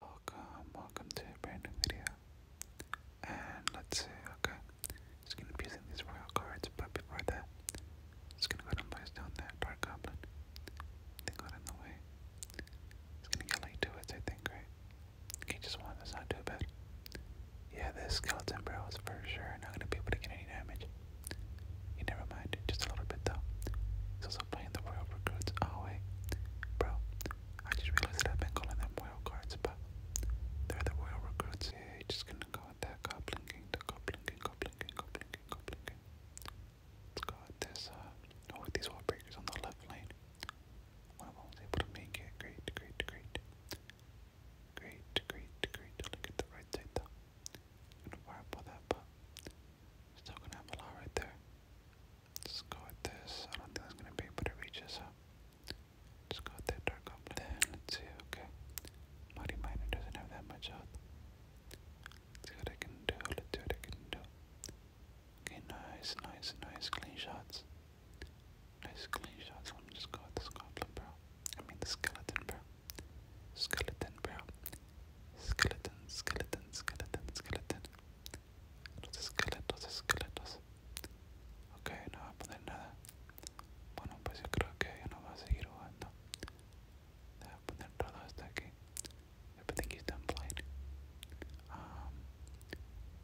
Welcome, welcome to a brand new video. And let's see, okay. Just gonna be using these royal cards, but before that, just gonna go and place down that dark goblin. They got in the way. It's gonna get like two hits, I think, right? Okay, just one, that's not too bad. Yeah, this skeleton barrel is for sure not gonna be able to get any damage. never mind, just a little bit though. It's also the Royal Recruits. Oh, wait. Bro, I just realized that I've been calling them Royal Guards, but they're the Royal Recruits. just gonna go with that Goblin King, the Goblin King, Goblin King, Goblin King, uh, oh, these wall breakers on the left lane. One of them was able to make it. Great, great, great. Great, great, great. Look at the right side though. I'm gonna fire up that, but still gonna have a lot right there. Let's go with this. I don't think that's gonna be, but it reaches up. Just go with that dark goblin. let's see, okay. Mighty Miner doesn't have that much health. Let's see what I can do. Let's see what I can do. Okay, nice, nice, nice, clean shots. Nice clean shots. Let me just go with this goblin, bro. I mean the skeleton, bro. Skeleton, bro. Skeleton, skeleton, skeleton, skeleton los esqueletos, Ok, no va a poner nada. Bueno, pues yo creo que ya no va a seguir jugando. Um,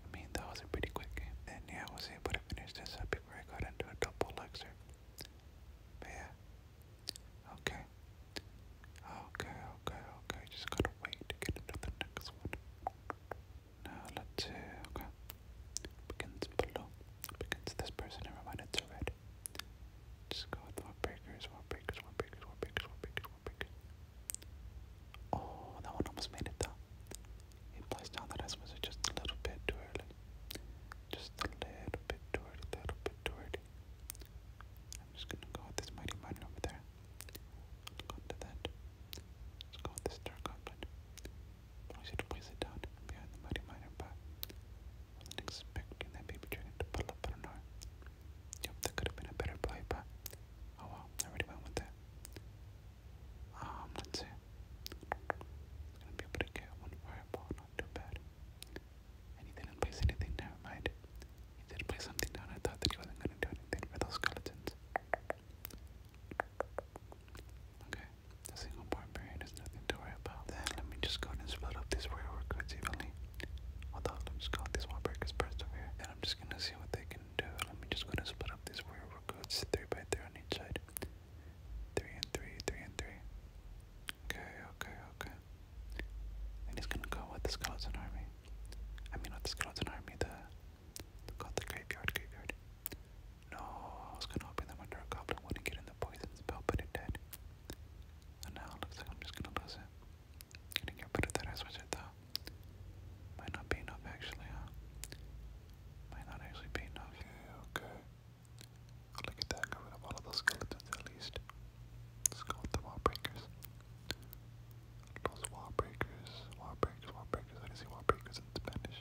I mean, that was a pretty quick And yeah, I was able to finish this up before I got into a double lecture. yeah, Okay. Okay, okay, okay. Just gotta wait to get into the next one. Now let's see. Okay. Begins below. Begins this person. Never mind, it's a red. Just go with one breakers, one breakers, one breakers, one breakers, one breakers, one breakers. Oh, that one almost made it though. He plays down that S was just a little bit too early. Just a little bit too early, little bit too early. I'm just gonna go with this mighty miner over there. Let's go to that. Let's go with this dark goblin. Probably should place it down behind the mighty miner, but I wasn't that baby dragon pull up. I don't know. that could have been a better play, but oh well, I already went with that. Um, let's see. It's gonna be able to get one fireball, not too bad he didn't place anything down, right? He did place something down. I thought that he wasn't going to do anything for those skeletons. Okay, the single barbarian is nothing to worry about. Then let me just go and split up these warrior recruits evenly. Although, let me just call these wallbreakers persevere. And I'm just going to see what they can do. Let me just go ahead and split up these warrior recruits 3 by 3 on each side. Three and three, three and three. Okay, okay, okay. And he's gonna go with the skeleton army. I mean, not the skeleton army, the. the got the graveyard, graveyard. No, I was gonna open them under a goblin one and get in the poison spell, but it did. And now looks like I'm just gonna lose it. Gonna get rid of that ice wizard though. Might not be enough actually, huh? Might not actually be enough. okay. Look at that, got rid of all of those skeletons at least. Let's go with wall breakers. Those wall breakers, wall breakers, wall breakers. I can see wall breakers in Spanish.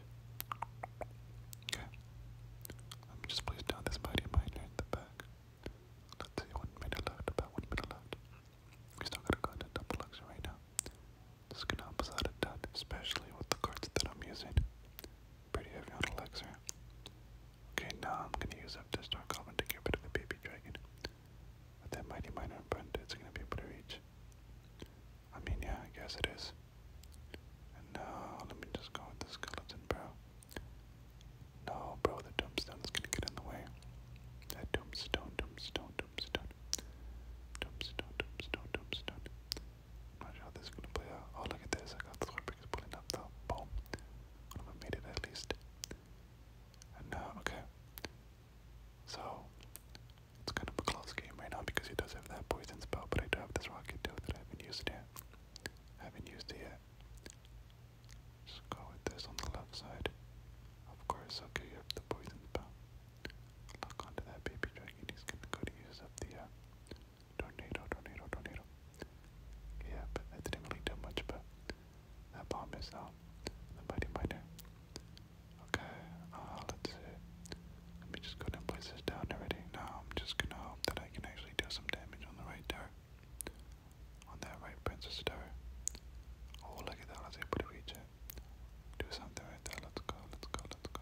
Okay. Let me just place down this mighty mine here the back. Let's see, one minute left, about one minute left. We still gotta go into double luxury right now. This is gonna help us out a ton, especially with the cards that I'm using. Pretty heavy on elixir. Okay, now I'm gonna use up this dark goblin to get rid of the baby dragon. With that mighty miner in front, it's gonna be able to reach. I mean, yeah, I guess it is. And let me just go with the skeleton, bro. No, bro, the tombstone's gonna get in the way. That tombstone, tombstone, tombstone. Tombstone, tombstone, tombstone. Not sure how this is gonna play out. Oh, look at this! I got the square pickers pulling up the ball. I made it at least. And now, okay. So it's kind of a close game right now because he does have that poison spell, but I do have this rocket too that I haven't used yet. haven't used it yet. Just go with this on the left side. Of course, okay, you have the poison spell. Lock onto that baby dragon. He's gonna go to use up the uh, Tornado, tornado, tornado. Yeah, but that didn't really do much, but that bomb is out. The mighty miner. Okay, uh, let's see. Let me just go ahead and place this down already. Now I'm just gonna hope that I can actually do some damage on the right tower. On that right princess tower. Oh, look at that. I was able to reach it. Do something right there. Let's go, let's go, let's go.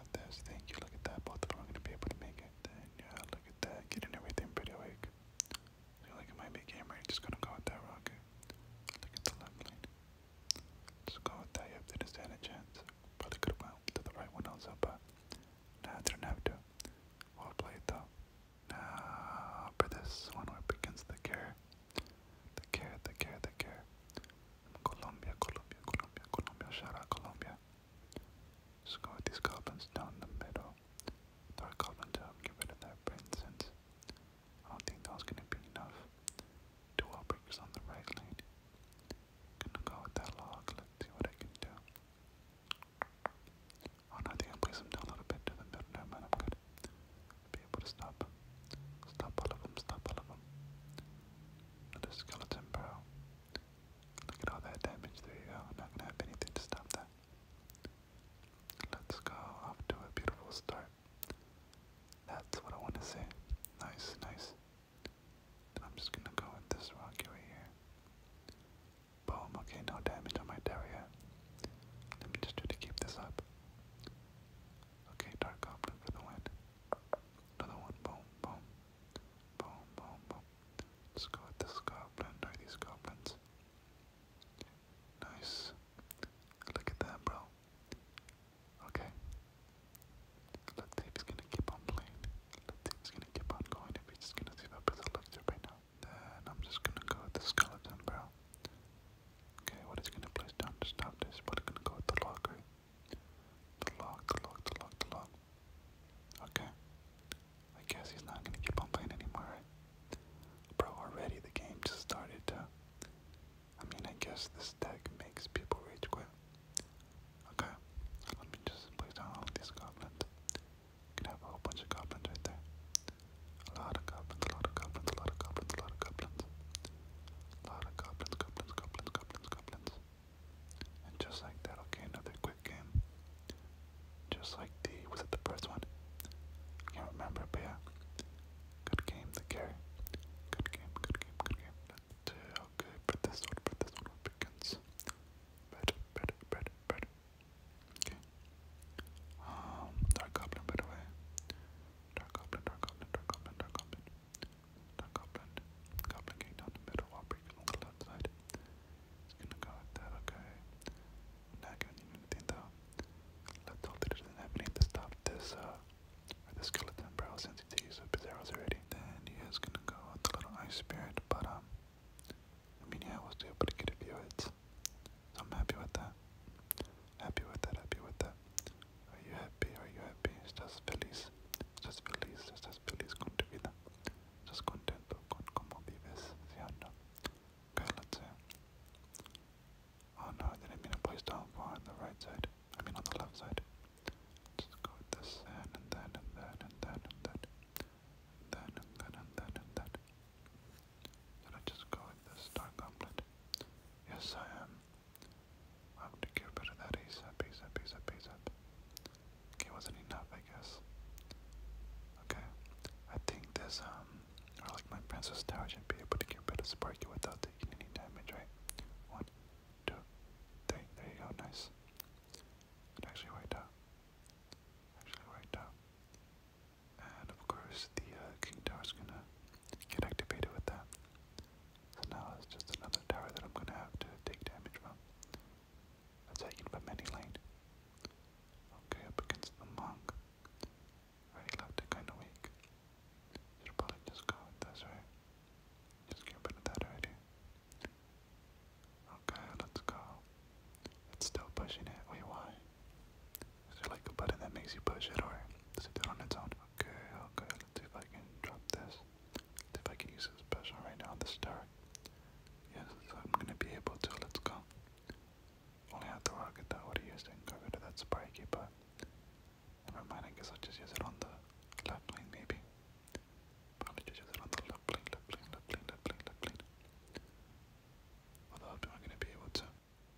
got this. Thank you. Look at that. Both of them are going to be able to make it. yeah, look at that. Getting everything pretty awake. Feel like it might be Just going to go with that rocket. Look at the left lane. Just go with that. Yep, they just had a chance. Probably could have went to the right one also, but nah, didn't have to. Well played though. Now for this one, we're the care. The care, the care, the care. Colombia, Colombia, Colombia, Colombia, shout Colombia. let go with these goblins down the middle. Dark goblin to help get rid of that I don't think that gonna be enough. Two outbreakers on the right lane. Gonna go with that log, let's see what I can do. Oh I think I place him down a little bit to the middle. Never mind, I'm good. i be able to stop. Stop all of them, stop all of them the skeleton bow. Look at all that damage, there I'm not gonna have anything to stop that. Let's go off to a beautiful start. That's what I want to say. Nice, nice. I'm just gonna go with this rock right here. Boom, okay, no damage on my Daria. Let me just try to keep this up. Okay, Dark Goblin for the win. Another one. Boom, boom. Boom, boom, boom. let go with this goblin or these goblins. Nice. Look at that, bro. Okay. Let's see gonna keep on playing. Let's see gonna keep on going. If he's just gonna see that person looks up right now. Then I'm just gonna go with the skeleton, bro. Okay, what is gonna place down to stop this? What gonna go with the locker? The log, the log, the log, the log. Okay. I guess he's not gonna keep on playing anymore, Bro, already the game just started I mean, I guess this deck makes people rage quit. Okay, let me just place down all these goblins. You can have a bunch of goblins right there. A lot of goblins, a lot of goblins, a lot of goblins, a lot of goblins. A lot of goblins, goblins, goblins, goblins, goblins. And just like that, okay, another quick game. Just like the, was it the first one? I can't remember, but yeah. Good game, the carry. Good game, good game, good game. But, uh, okay, but this one, but this one begins. Better, better, better, better. Okay. Um, Dark Goblin, by the way. Dark Goblin, Dark Goblin, Dark Goblin, Dark Goblin. Dark Goblin. Goblin getting down the middle while breaking on the left side. It's gonna go like that, okay. Not gonna need anything Let's hope that it doesn't have anything this, uh, or the skeleton bro since he's used up his arrows already. Then he is gonna go with little ice spirit, but um, I mean, I was able to get a few hits. So I'm happy with that. Happy with that, happy with that. Are you happy? Are you happy? ¿Estás feliz? ¿Estás feliz? ¿Estás feliz con tu vida? ¿Estás contento con cómo vives? ¿Sí or no? Okay, let's see. Oh no, I didn't mean to place down far on the right side. I mean on the left side. Just go with this and then and then and then and then and then and then and then and then. Did I just go with the star goblet? Yes, I am. I have to cure better that ASAP, ASAP, ASAP, ASAP. Okay, wasn't enough, I guess. Okay, I think this, um, or like my Princess Tower should be able to cure better Sparky without taking any damage, right? One, two, three, there you go, nice. It actually worked out. Actually worked out. And of course the uh, king tower is gonna get activated with that. So now it's just another tower that I'm gonna have to take damage from. That's how you can put many lane. Okay, up against the monk. Already left it kinda weak. Should probably just go with this, right? Just get rid of that already. Okay, let's go. It's still pushing it. We why? Is there like a button that makes you push it, or does it do on its own? Okay, okay, let's see if I can drop this. Let's see if I can use this special right now, on the star. Yes, so I'm gonna be able to, let's go. Only have the rocket that I would have used it and go rid of that spiky, but never mind, I guess I'll just use it on the left line, maybe. Probably just use it on the left lane, left lane, left lane, left lane, left lane. Although I'm gonna be able to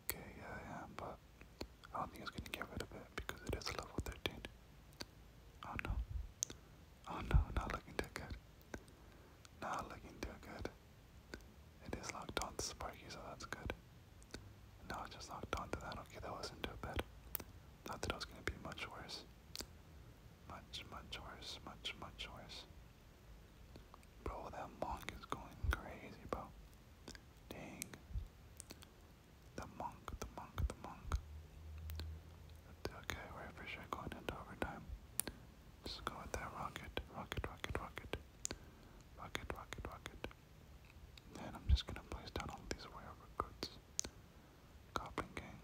Okay, yeah, I am, but I don't think it's gonna get rid of it because it is level 13. Oh no. Oh no, not looking too good. Not looking too good. It is locked on Sparky, so that's good. No, I just locked on that. Okay, that wasn't too bad. Thought that it was gonna be much worse. Much, much worse, much, much worse. Bro, that monk is going crazy, bro. Dang. The monk, the monk, the monk. Okay, we're for sure going into overtime. Just go with that rocket, rocket, rocket, rocket. Rocket, rocket, rocket. Then I'm just gonna place down all these rare recruits. Goblin Gang.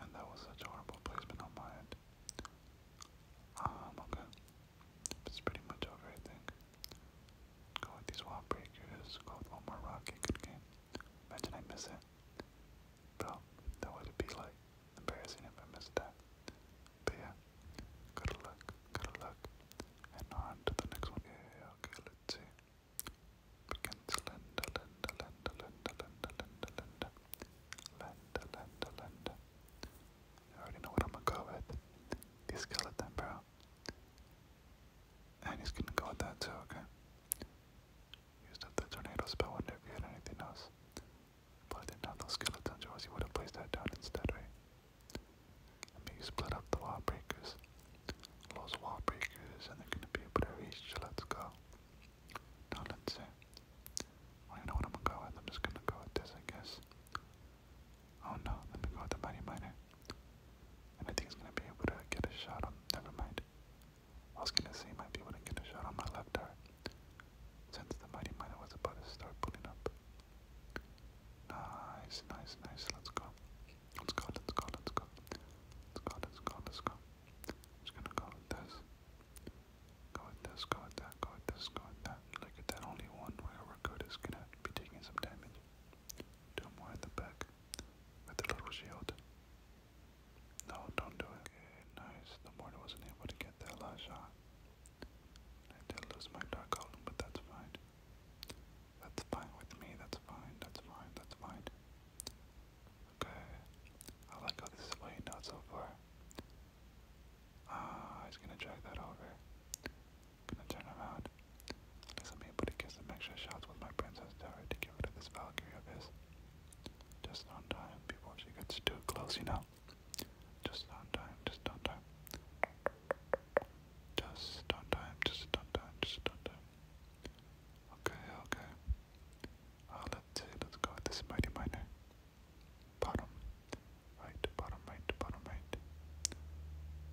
And that was such horrible placement on my end okay. It's pretty much over, I think. Go these wall breakers. Go one more rocket. Good game. Imagine I miss it. Bro, that would be like embarrassing if I missed that. But yeah, good luck, good luck. And on to the next one. okay, let's see. Begin to Linda, Linda, Linda, Linda, Linda, Linda, Linda, Linda, Linda, Linda. I already know what I'm gonna go with. The skeleton, bro. And he's gonna go with that too, okay? Used up the tornado spell, wonder if you had anything else. But I didn't have those skeleton jaws, you would have placed that down instead, right? Let me split up the wall breakers. Those wall breakers, and they're gonna be able to reach, let's go. Now let's see. Well, you know what I'm gonna go with? I'm just gonna go with this, I guess. Oh no, let me go with the mighty miner. I think he's gonna be able to get a shot on. Never mind. I was gonna say he might be able to get a shot on my left ear. since the mighty miner was about to start pulling up. Nice, nice, nice. Let's go. Let's go. Let's go. Let's go. Let's go. Let's go. Let's go. just gonna go with this. Go with this, go with that, go with this, go with that. Look at that, only one wherever good is gonna be taking some damage. Do more in the back with the little shield. No, don't do it. nice. The mortar wasn't able to get that last shot. I did lose my dark column, but that's fine. That's fine with me, that's fine, that's fine, that's fine. Okay. I like how this is playing out so far. Ah, uh, he's gonna drag that over. Gonna turn around. Doesn't mean but he gets some extra shots with my princess tower to get rid of this Valkyrie of his. Just on time before she gets too close, you know. Just on time, just on time. Just on time, just on time, just on time. Okay, okay. Uh, let's go with this mighty miner. Bottom, right, bottom, right, bottom, right.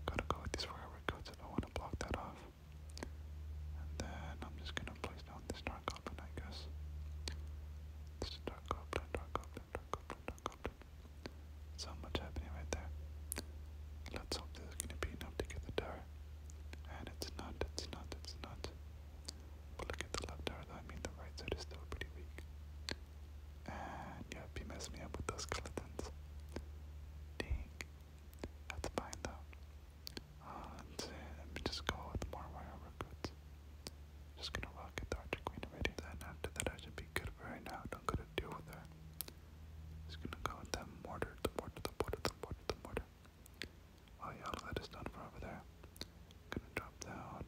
Gotta go with these forever codes if I want to block that off. And then I'm just gonna place down this dark goblin, I guess. This dark goblin, dark goblin, dark goblin, dark goblin. So much happening right there. Let's hope this is gonna be enough to get the tower. And it's not, it's not, it's not. But look at the left tower, I mean, the right side is still pretty weak. And yeah, he messed me up with those skeletons. Dang. That's fine, though. Uh, let Let me just go with more wire recruits. Just gonna rocket the Archer Queen already. Then after that, I should be good for right now. Don't gotta deal with her. Just gonna go with that mortar, the mortar, the mortar, the mortar, the mortar. Oh yeah, all that is done for over there. Gonna drop down.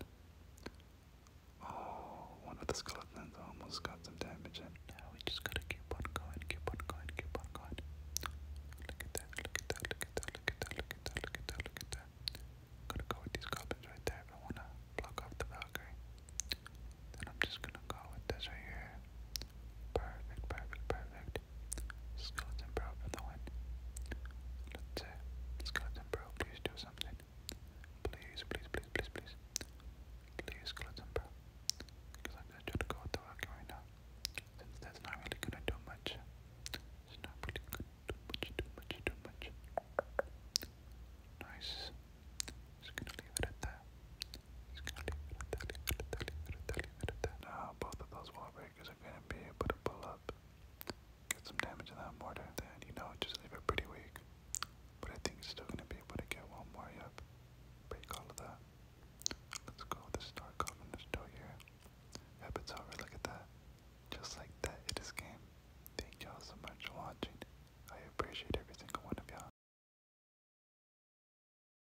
Oh, one of the skeletons almost got some damage in. Now we just gotta keep on going, keep on going, keep on going. Look at that, look at that, look at that, look at that, look at that, look at that, gonna go with these goblins right there. I wanna block off the Valkyrie. Then I'm just gonna go with this right here. Perfect, perfect, perfect. Skeleton Bro for the win. Let's say, uh, Skeleton Bro, please do something. Please, please, please, please, please. Please, Skeleton Bro. Because I'm just to go with the walking right now. Since that's not really gonna do much. It's not really gonna do much, do much, do much. Nice. Just gonna leave it at that. Just gonna leave it at that, leave it that, that, that good at that. both of those wall breakers are going to be able to pull up, get some damage in that mortar, then, you know, just leave it pretty weak. But I think he's still going to be able to get one more up. Break all of that. Let's go with the Star Covenant's door here. Yep, it's over. Look at that. Just like that, it is game. Thank y'all so much for watching. I appreciate every single one of y'all.